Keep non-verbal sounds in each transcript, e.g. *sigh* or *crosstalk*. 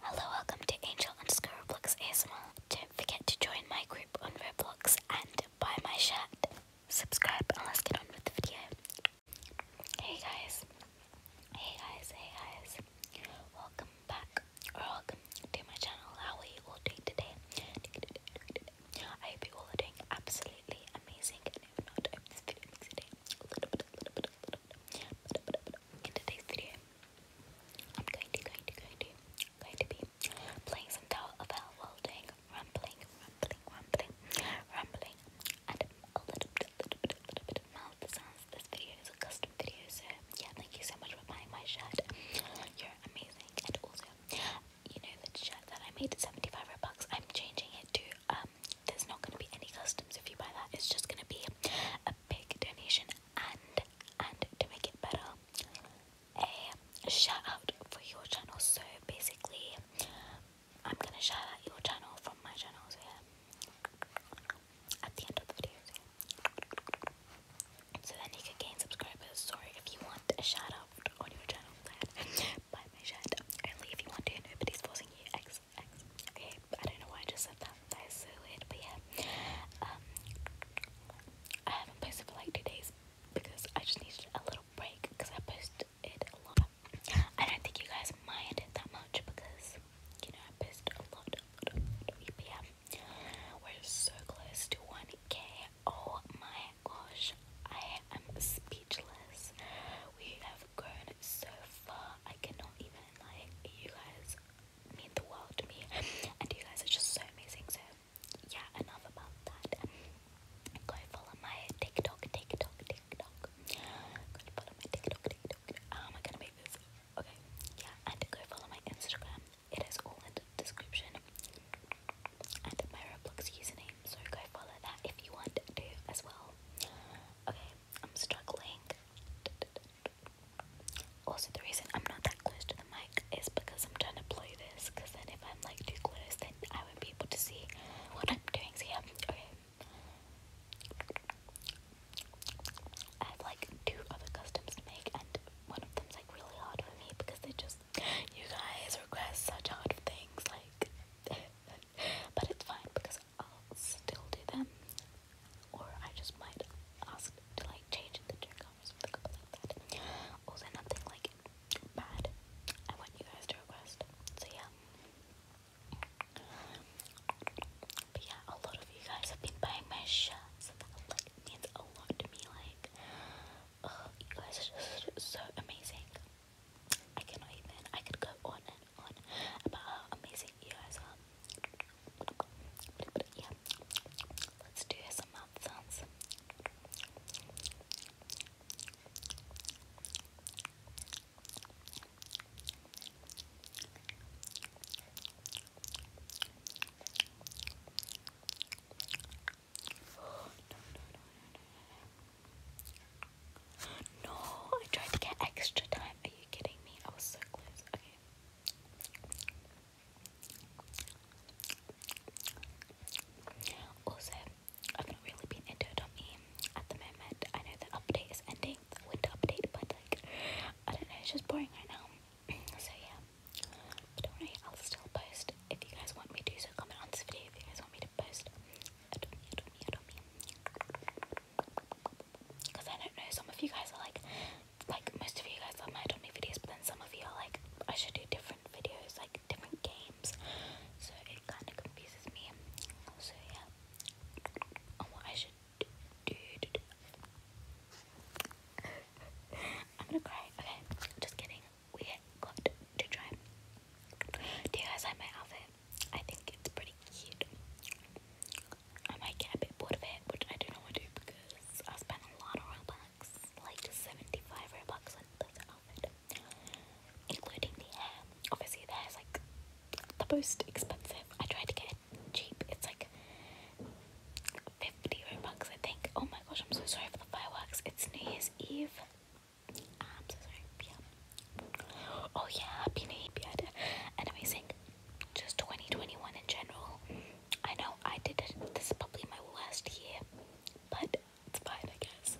Hello, welcome to Angel underscore Roblox ASMR. Don't forget to join my group on Roblox and buy my shirt. Subscribe and let's get on with the video. Hey guys, hey guys, hey guys. Welcome back or welcome to my channel. How are you all doing today? I hope you all are doing absolutely amazing if not, I hope this video makes your in today's video, I'm going to, going to, going to, going to be playing some Tower of Hell while doing rumbling, rumbling, rumbling, rumbling, and a little bit, little bit, little bit of mouth sounds. This video is a custom video, so yeah, thank you so much for buying my shirt. You're amazing, and also, you know that shirt that I made 75 bucks. I'm changing it to um there's not going to be any customs if you buy that. It's just going to be a big donation and and to make it better, a shout out for your channel. So basically, I'm going to shout out your channel from my channel. So yeah, then you can gain subscribers. Sorry if you want a shout out on your channel. Buy my shirt. Only if you want to. Nobody's forcing you. Okay, I don't know why I just said that. so weird, but yeah. Um, I haven't posted for like two days because I just needed a little break because I posted a lot. I don't think you guys mind it that much because you know I posted a lot. we're so close to 1k. Oh my gosh, I am speechless. We have grown so far. I cannot even like you guys mean the world to me, and you guys are just so amazing. So yeah, enough about that. Go follow my TikTok, TikTok, TikTok. Go follow my TikTok, TikTok. How oh am gonna make this? Okay, yeah, and go follow my Instagram. It is all in the description and my Roblox username. So go follow that if you want to as well. Okay, I'm struggling. Also, the reason I'm not that close to the mic is because I'm trying to play this. Because then, if I'm like too close, then I would not be able to see what I'm doing. So, yeah, okay. I have like two other customs to make, and one of them's like really hard for me because they just, you guys request such hard things. Like, *laughs* *laughs* but it's fine because I'll still do them. Or I just might ask to like change the checkup or something like that. Also nothing like bad. I want you guys to request. So yeah. But yeah, a lot of you guys have been buying my shirts. that like means a lot to me. Like, you guys are just so amazing. I cannot even. I could go on and on about how amazing you guys are. yeah, let's do some mouth sounds. No, I tried to get extra time. Are you kidding me? I was so close. Okay. Also, I've not really been into Adopt.me at the moment. I know the update is ending, the winter update, but like, I don't know, it's just boring right now. so yeah, but don't worry, I'll still post if you guys want me to, so comment on this video if you guys want me to post because I don't know, some of you guys are like, like most of you guys love my Adobe videos but then some of you are like, I should do different videos, like different games so it kind of confuses me so yeah, on oh, what I should do, do, do, do. *laughs* I'm gonna cry, okay, just kidding we got to try. Do you guys like my outfit? I think it's pretty cute. I might get a bit bored of it, which I don't know to do because I spent a lot of Robux, like 75 Robux on this outfit, including the hair. Obviously, the like the most expensive. I tried to get it cheap, it's like 50 50 Robux, I think. Oh my gosh, I'm so sorry for the fireworks. It's New Year's Eve. I'm so sorry. Oh yeah, happy New Year. amazing. Just 2021 in general. I know I did This is probably my worst year, but it's fine, I guess.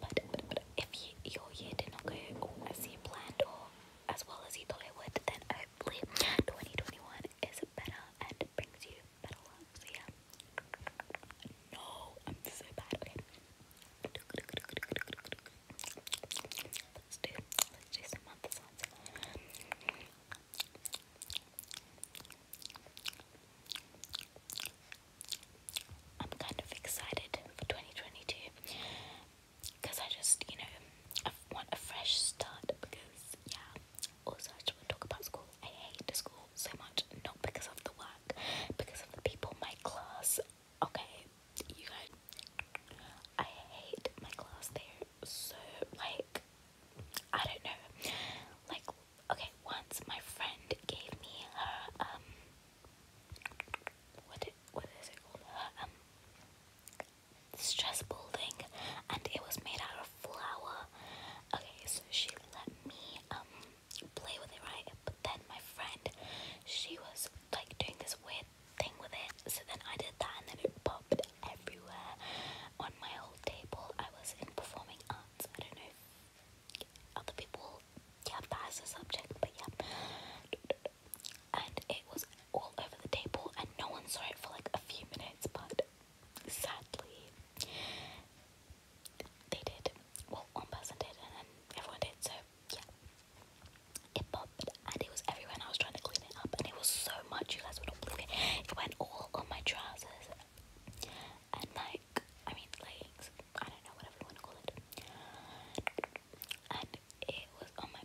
But, but, but if your year did not go as planned or as well as you thought it would, then hopefully 2021 is better and brings you better luck. So yeah. No, I'm so bad. Okay. Let's do let's do some other I'm kind of excited for 2022 because I just, you know, I want a fresh start because, yeah, also I just want to talk about school I hate school so much, not because of the work, because of the people, my class. Okay, you guys, I hate my class. there. so like, I don't know. Like, okay, once my friend gave me her um, what it, what is it called? Her um, stress thing, and it was made out of flour. Okay, so she let me um, play with it, right? But then my friend, she was like doing this weird thing with it. So then I did that and then it popped everywhere on my whole table. I was in performing arts. I don't know other people yeah that as subject, but yeah. And it was all over the table and no one saw it for like a few minutes, but sadly, they did. Well, one person did, and then everyone did, so yeah. It popped, and it was everywhere, I was trying to clean it up, and it was so much, you guys would not believe it. It went all on my trousers and my, I mean, leggings, I don't know, whatever you want to call it. And it was on my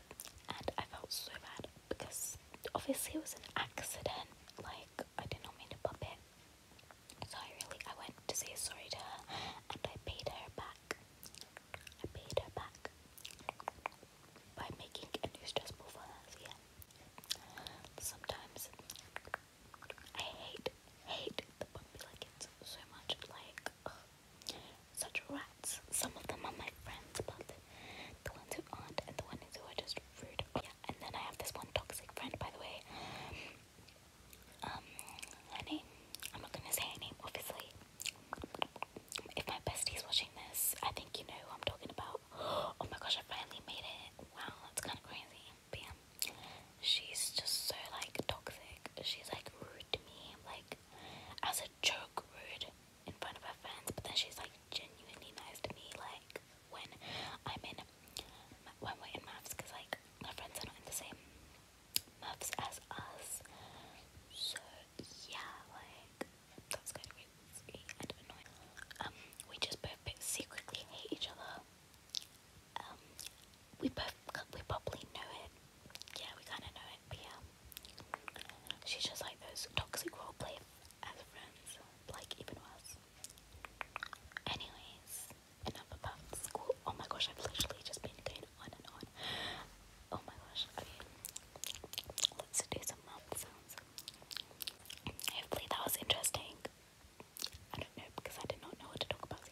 and I felt so bad because obviously it was an accident, like I did not mean to bump it. So I really I went to say sorry to her and I paid her back. I paid her back by making it new stressful for her, yeah. Sometimes I hate hate the bumpy like it's so much like such rats. Some of them are my friends, but the ones who aren't and the ones who are just rude. yeah, and then I have this one toxic friend, by the way. Um, name. I'm not gonna say name, obviously. If my bestie's watching this, I think you know who I'm talking about. *gasps* Oh my gosh, I finally made it. Wow, that's kind of crazy. But she's just so like toxic. She's like rude to me, like as a joke rude in front of her friends, but then she's like genuinely nice to me like when I'm in when we're in maths like my friends are not in the same maths as us. So yeah, like that's kind of really and annoying. Um, we just both secretly hate each other. Um, we both we probably know it. Yeah, we kind of know it. But yeah, she's just like those toxic roleplay as friends, like even worse. Anyways, enough about school. Oh my gosh, I've literally just been going on and on. Oh my gosh. let's do some mouth sounds. Hopefully that was interesting. I don't know because I did not know what to talk about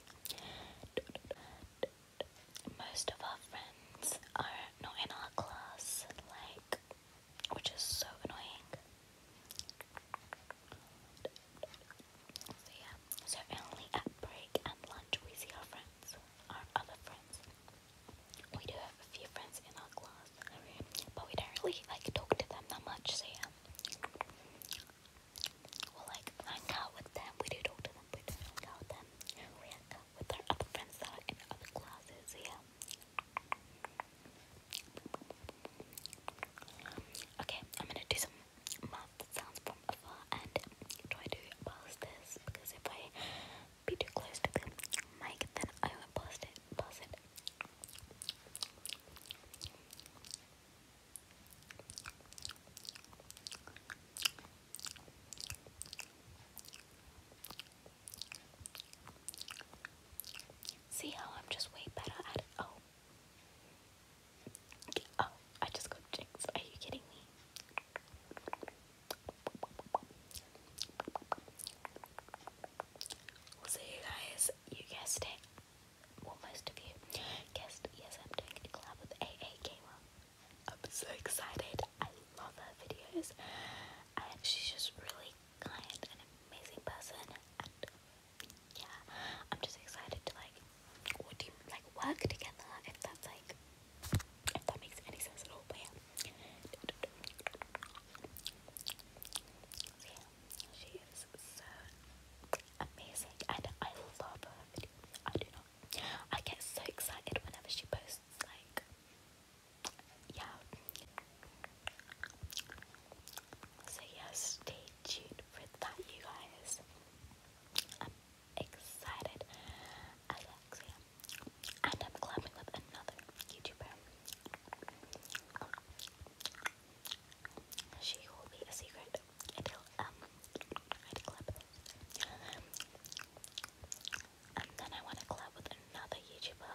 most of our friends are not in our class, like, which is so annoying. So, yeah, so only at break and lunch we see our friends, our other friends. We do have a few friends in our class, but we don't really like talk to them that much, so yeah. Well, like, hung out with them. We did talk them, we did hang out with them. We hung out with our other friends that are in other classes, yeah. Okay, I'm gonna do some math sounds from afar and try to post this because if I be too close to the mic, then I will pass it. Pass it. See how I'm just way better at it? Oh. Oh, I just got jinxed. Are you kidding me? see you guys. You guessed it well, most of you guessed, yes, I'm doing a collab with AA Gamer. I'm so excited. I love her videos, she's just really kind and amazing person. And yeah, I'm just excited to like, like work together? If that's like, if that makes any sense at all, but yeah. She is so amazing and I love her videos. I do not. I get so excited whenever she posts, like, yeah. So, yes, stay tuned for that, you guys. I'm excited I as Alexia, and I'm collabing with another YouTuber. She will be a secret until um I collab and then I want to collab with another YouTuber.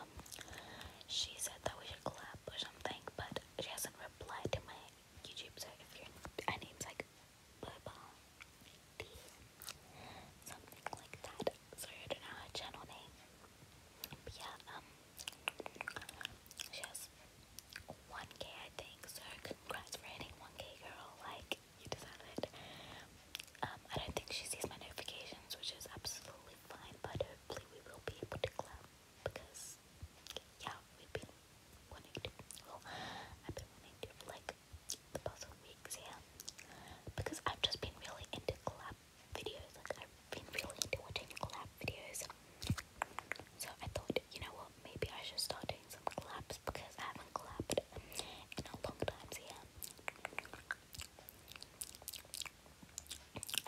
She said that we should clap or something, but she hasn't replied to my YouTube. So if you're her like Boba something like that. Sorry, I don't know her channel name. But yeah, um, she has 1k I think, so congrats for hitting 1k girl, like, you deserve it. Um, I don't think she sees my notifications, which is absolutely fine, but hopefully we will be able to clap, because, yeah, we've been wanting to, well, I've been wanting to, like, the past weeks, yeah, because I've just been really into clap videos. Like I've been really into watching collab videos. So I thought, you know what, maybe I should start doing some collabs because I haven't collabed in a long time, so I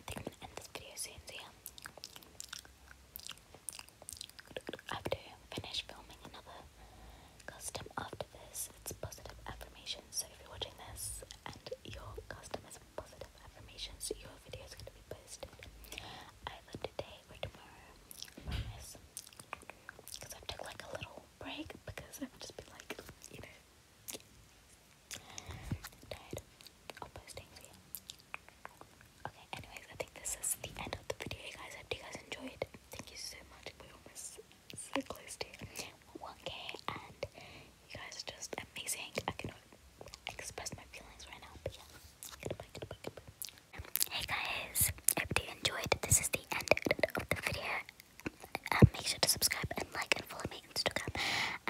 think I'm gonna end this video soon, so yeah. finish filming another custom after this. It's positive affirmations, so if you're watching this and your custom is positive affirmations your video is going to be posted either today or tomorrow. I Because i took like a little break because I've just been like, you know, tired of posting for you. Okay, anyways, I think this is the end of the video, guys. I hope you guys enjoyed. Thank you so much. We're almost so close to 1k, and you guys are just amazing. I can't express my feelings right now, but yeah. Hey guys, I hope you enjoyed. This is the end of the video. Um, make sure to subscribe and like and follow me on Instagram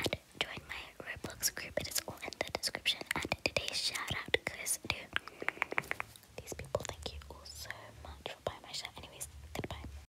and join my Roblox group. It is all in the description. And today's shout out goes to these people. Thank you all so much for my shirt. Anyways, goodbye.